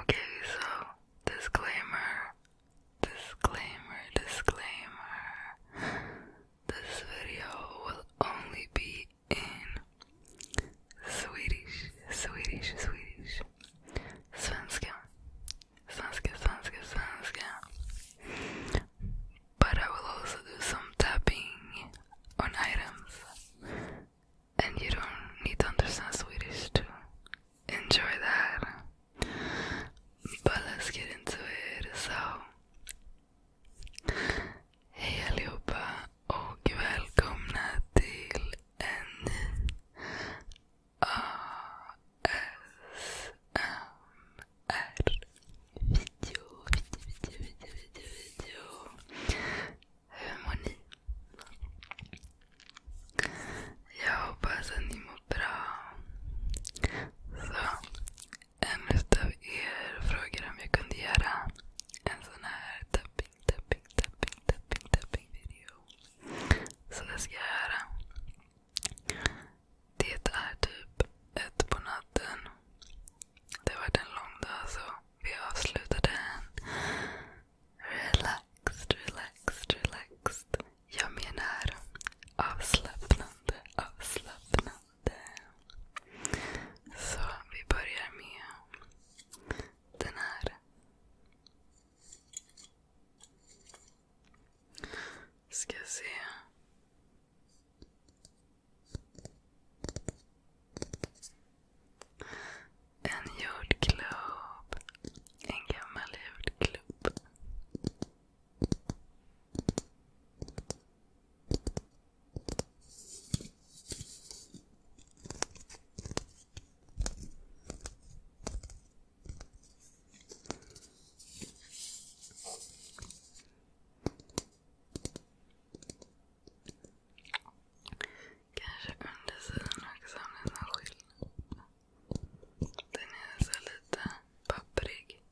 Okay, so disclaimer, disclaimer, disclaimer. This video will only be in Swedish, Swedish, Swedish. Svenska, svenska, svenska, svenska. But I will also do some tapping on items and you don't need to understand Swedish to enjoy that. But let's get into it. So, hej allihopa och välkomna till en ASMR video. Hur mår ni? Jag hoppas att ni mår bra. Så, en utav er frågade om jag kunde göra en sån här tapping, tapping, tapping, tapping, tapping video. Så det ska jag göra. Det är typ ett på natten. Det var en lång dag så vi avslutade den relaxed, relaxed, relaxed. Jag menar avslappnande, avslappnande. Så vi börjar med den här. Ska se. En jordglob. En gammal jordglob. Kanske undersidan också om det är någon skillnad. Den är så alltså lite papprig.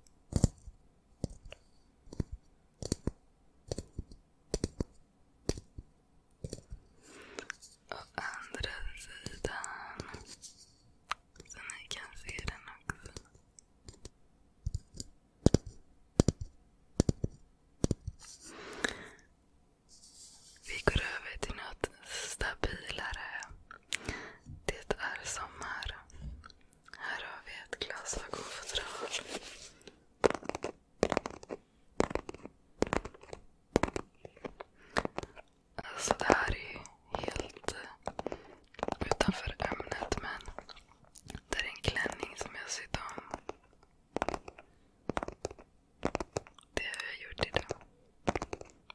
Och andra sidan. Så ni kan se den också. Vi går över till något stabilare. Det är sommar. Här har vi ett glasögonfodral. Alltså det här är helt utanför ämnet men det är en klänning som jag sytt om. Det har jag gjort idag.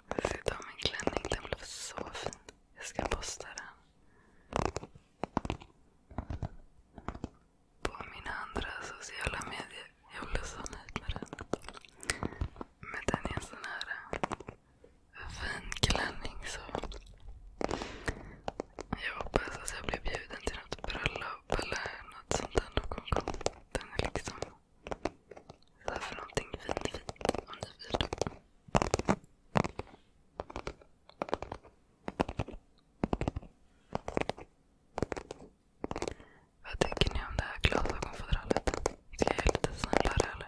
Jag ska ta min klänning. Den blev så fin. Jag ska posta den. På mina andra sociala medier. Jag blev så nöjd med den. Men den är en sån här eh, fin klänning. Så jag hoppas att jag blir bjuden till något bröllop eller något sånt där någon gång. Den är liksom där för någonting fint fint om ni vill. Vad tycker ni om det här glasögonfodralet? Ska jag göra lite snällare eller?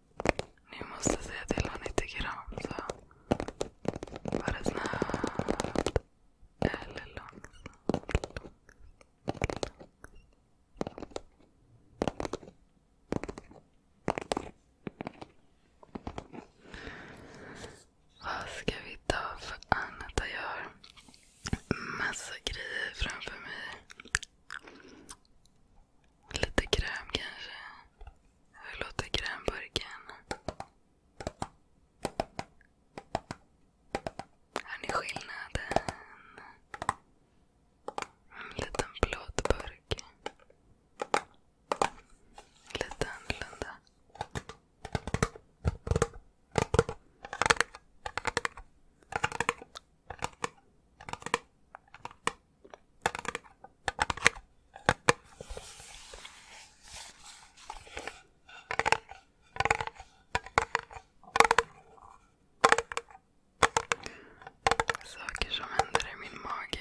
Ni måste säga till vad ni tycker om. Så. Var snabbt eller långsamt? Vad ska vi ta för annat? Jag har massa grejer framför mig. Lite kräm kanske. Jag låter grönburken. Hör ni skillnaden? En liten plåtburk. Lite annorlunda. Saker som händer i min mage.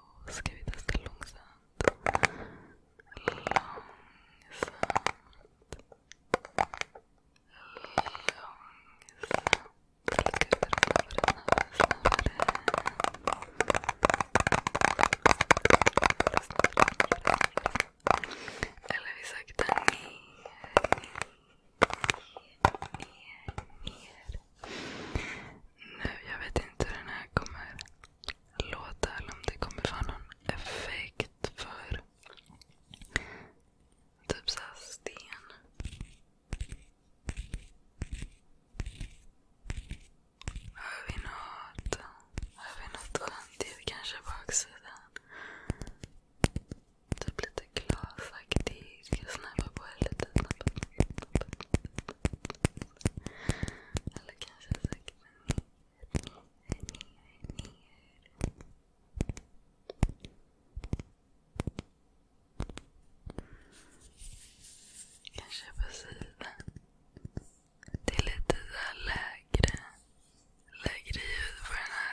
Ska vi testa långsamt? Långsamt. Långsamt. Eller vi saktar ner, ner, ner, ner nu. Jag vet inte hur den här kommer låta eller om det kommer få någon effekt för typ såhär sten. Hör vi något? Hör vi något skönt ljud? Kanske baksidan? Typ lite glasaktigt. Ska jag snäva på det lite? Snabbt. Eller kanske söker man ner, ner, ner, ner. Kanske på sidan. Det är lite så lägre, lägre ljud på den här.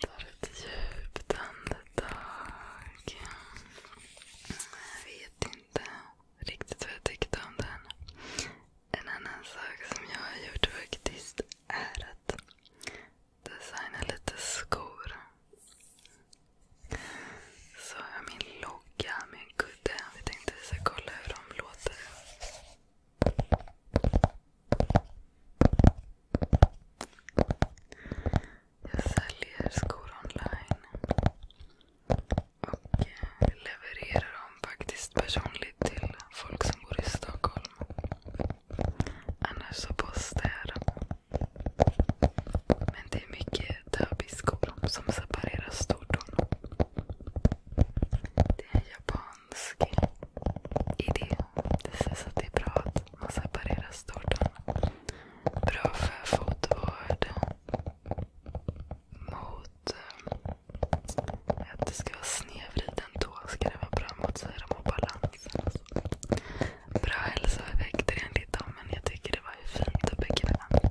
Tar ett djupt andetag. Jag vet inte riktigt vad jag tyckte om den. En annan sak som jag har gjort faktiskt är att designa lite skor. Så har jag min logga med en kudde. Vi tänkte vi ska kolla hur de låter. Jag säljer skor online. Och eh, levererar dem faktiskt personligt till folk som bor i Stockholm. Annars så postar jag dem. Men det är mycket töbiskor som separerar stortorn. Det är en japan fransk idé. Det känns att det är bra att man separerar storten. Bra för fotvård. Mot eh, att det ska vara snedvriden tå ska det vara bra mot syra och balansen. Bra hälsoeffekter enligt dem, men jag tycker det var ju fint och bekvämt.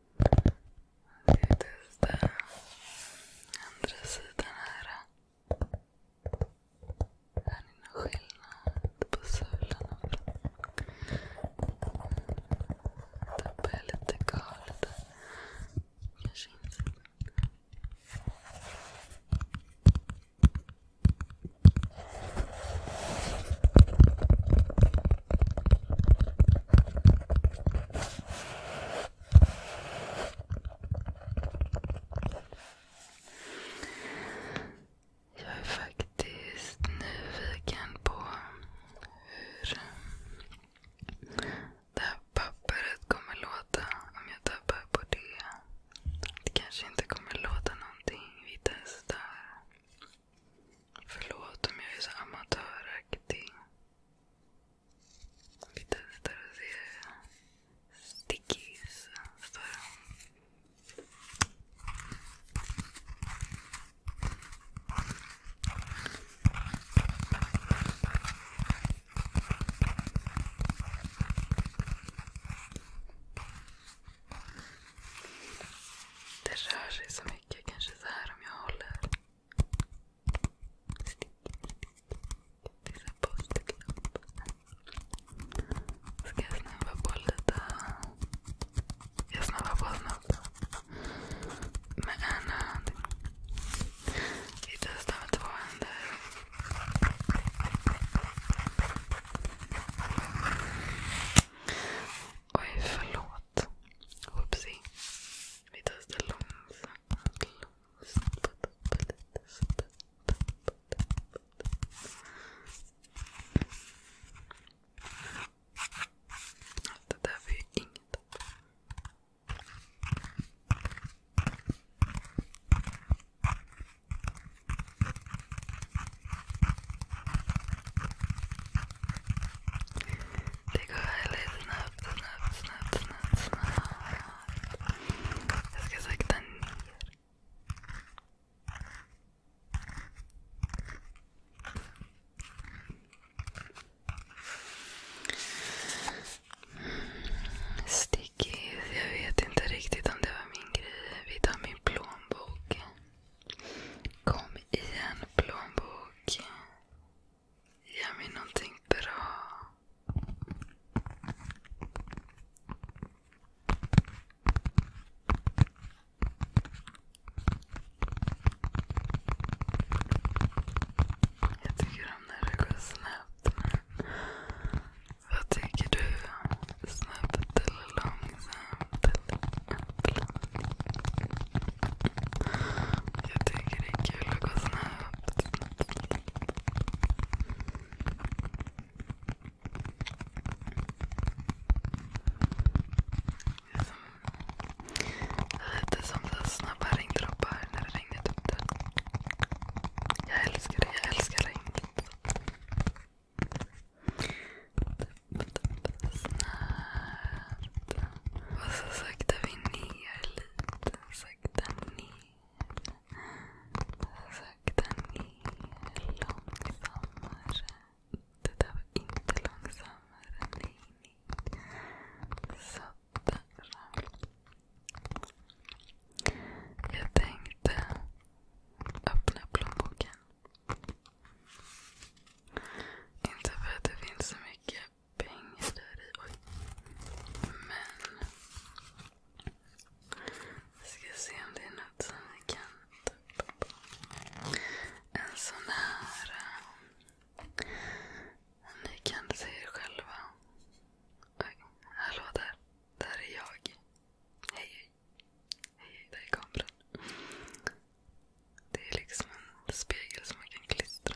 Det är den andra sidan här. Här är någon skillnad på sulan och Tappar jag lite galet. Kanske insidan. Jag är faktiskt nyfiken på hur det här pappret kommer låta om jag tappar på det. Det kanske inte kommer låta någonting. Vi testar. Förlåt om jag är så amatöraktig. Vi testar och ser. Stickies står alltså. det. Det rör sig så mycket. Kanske så här om jag håller. Det är en post-it-lapp. Ska jag snabba på lite? Jag snabbar på snabbt. Med en hand. Vi testar med två händer. Oj, förlåt. Oopsie. It does the långsamt, långsamt. Allt det där var ju inget. Det går väldigt snabbt, snabbt, snabbt, snabbt, snabbt. Jag ska sakta ner. Stickis, jag vet inte riktigt om det var min grej. Vi tar min plånbok. Kom igen plånbok. Ge mig någonting bra. Jag tycker om när det går snabbt. Men vad tycker du? Snabbt eller långsamt? Eller jag tycker det är kul att gå snabbt. lite som så snabba regndroppar när det regnar typ Jag älskar det. Jag älskar regn. Snart. Och så saktar vi ner lite sakta ner. Sakta ner. Långsammare. Det där var inte långsammare. Nej, nej. Sådär. Jag tänkte öppna plånboken. Inte för att det finns så mycket pengar där i. Oj. Men... Vi ska se om det är något som vi kan tappa på. En sån här... Äh, ni kan se er själva. Oj, hallå där. Där är jag. Hej, hej. Hej, där är kameran. Det är liksom en spegel som man kan klistra.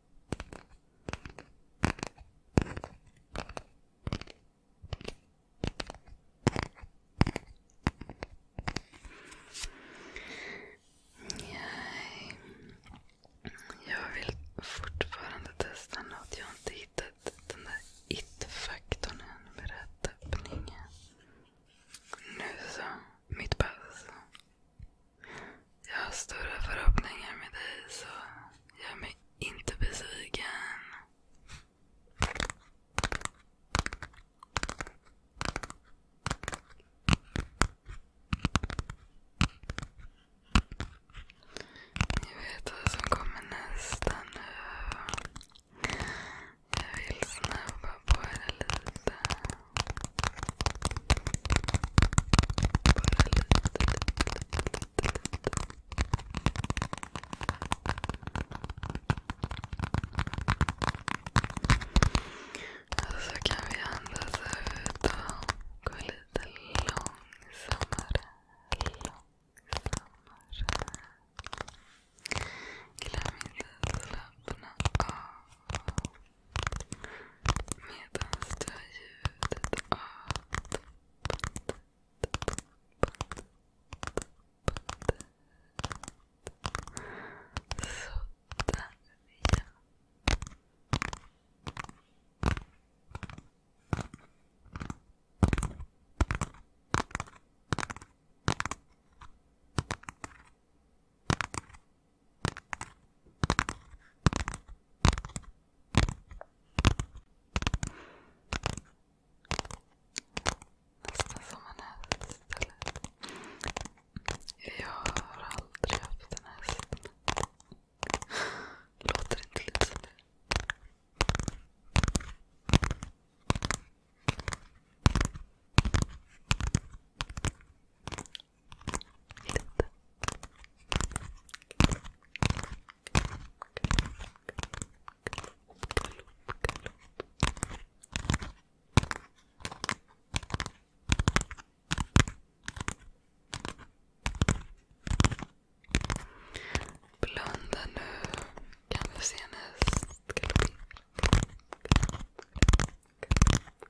Nej. Jag vill fortfarande testa något. Jag har inte hittat den där it-faktorn än med rätt öppning. Nu så. Mitt pass. Jag har stora förhoppningar med dig så gör mig inte besviken. Jag vet vad som kommer nästa nu. Jag vill snabba på det lite. Och så kan vi andas ut och gå lite långsammare. Långsammare. Glöm inte att slappna av. Medan du har ljudet av Sådär ja. Nästan som en häst eller? Jag har aldrig haft en häst. Låter inte lite som det? Lite. Blunda nu. Kan vi se näst? Galopp. Galopp. Galopp.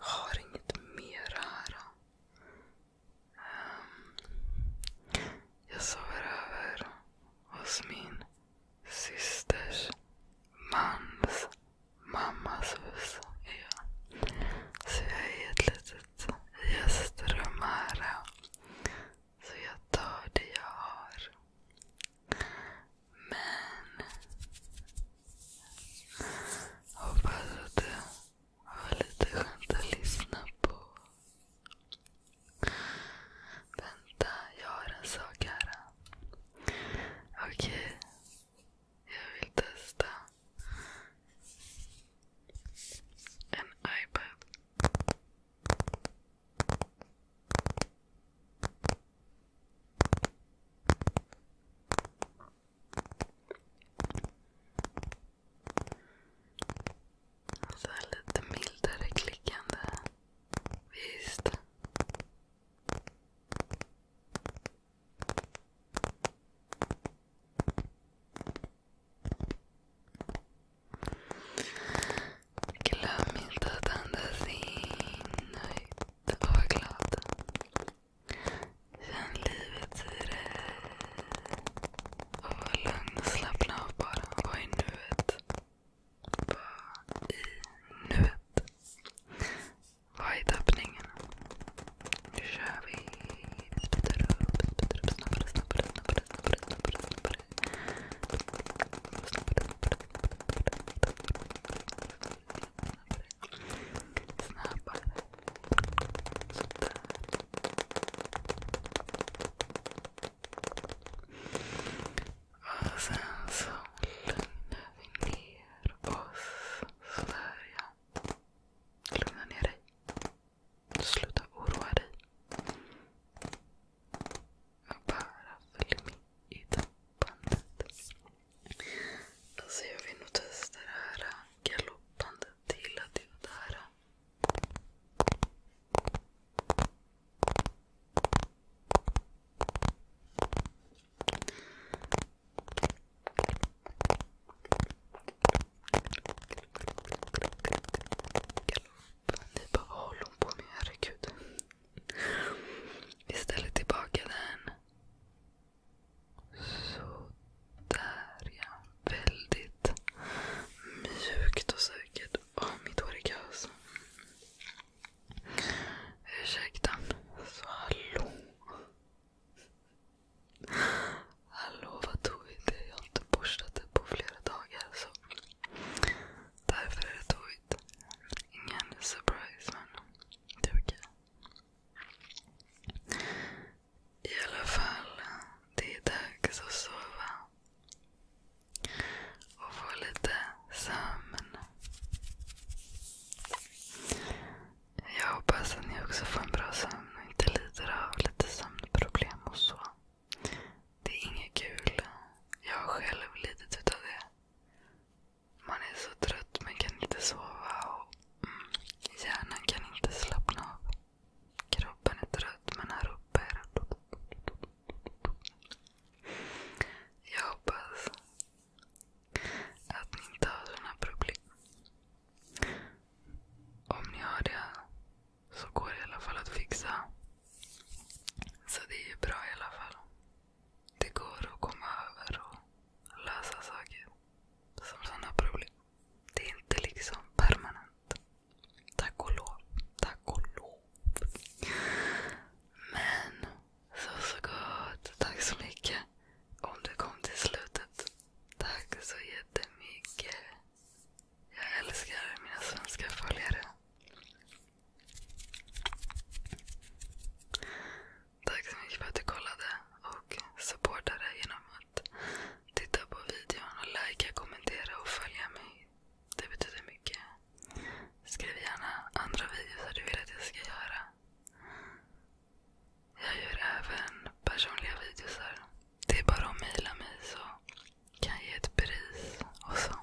Har inget mer här. Ehm, jag sover över hos min systers mans mammas hus. Så jag är ett litet gästrum här. Så jag tar det jag har. Men... Hoppas att det var lite skönt att lyssna på. Vänta, jag har en sak här. Okej. Okay. Jag vill testa en iPad. Och så alltså, här lite mildare klickande. Visst? Glöm inte att andas in högt och var glad. Känn livet i dig. Och var lugn och slappna av bara. Var i nuet. Var i nuet. Var i tappningen. Nu kör vi. Vi speedar upp, speedar upp. Snabbare, snabbare, snabbare, snabbare, snabbare. snabbare. snabbare, snabbare. Snabbare. Sådär. Och sen så lugnar vi ner oss. Sådär Lugna ner dig. Sluta oroa dig. Bara följ med i tappandet. Alltså jag vill nog testa det här galoppandet. Jag gillade ju det här. Ni bara, vad håller hon på med? Herregud. Vi ställer tillbaka den. Sådär ja. Väldigt mjukt och säkert. mitt hår är kaos. Ursäkta. Så hallå. Hallå, vad tog vi det? Jag har inte borstat det på flera dagar. Därför är det tåigt. Ingen surprise men det är okej. I alla fall, det är dags att sova. Och få lite sömn. Jag hoppas att ni också får en bra sömn och inte lider av lite sömnproblem och så. Det är inget kul. Jag har själv lidit utav det. Man är så trött, men kan inte sova. Mm, hjärnan kan inte slappna av. Kroppen är trött, men här uppe är det... Jag hoppas att ni inte har sådana problem. Om ni har det så går det i alla fall att fixa. Så det är ju bra i alla fall. Det går att komma över och lösa saker som sådana problem. Det är inte liksom permanent. Tack och lov. Tack och lov. Men så så gott. Tack så mycket om du kom till slutet. Tack så jättemycket. Jag älskar mina svenska följare. Tack så mycket för att du kollade och supportade genom att titta på videon och likea, kommentera och följa mig. Det betyder mycket. Skriv gärna andra videos du vill att jag ska göra. Jag gör även personliga videos. Det är bara att mejla mig så kan jag ge ett pris och så.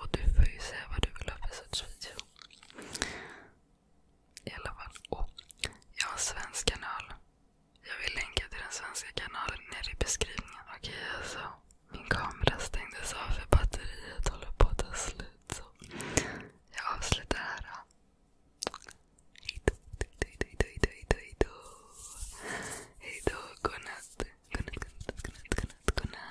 Och du får ju säga vad du vill ha för sorts video. I alla fall. Oh, jag har en svensk kanal. Jag vill länka till den svenska kanalen nere i beskrivningen. Okej, okay, alltså. Min kamera stängdes av för batteriet håller på att ta slut. Så jag avslutar här. Hejdå, hejdå, godnatt, godnatt, godnatt. godnatt.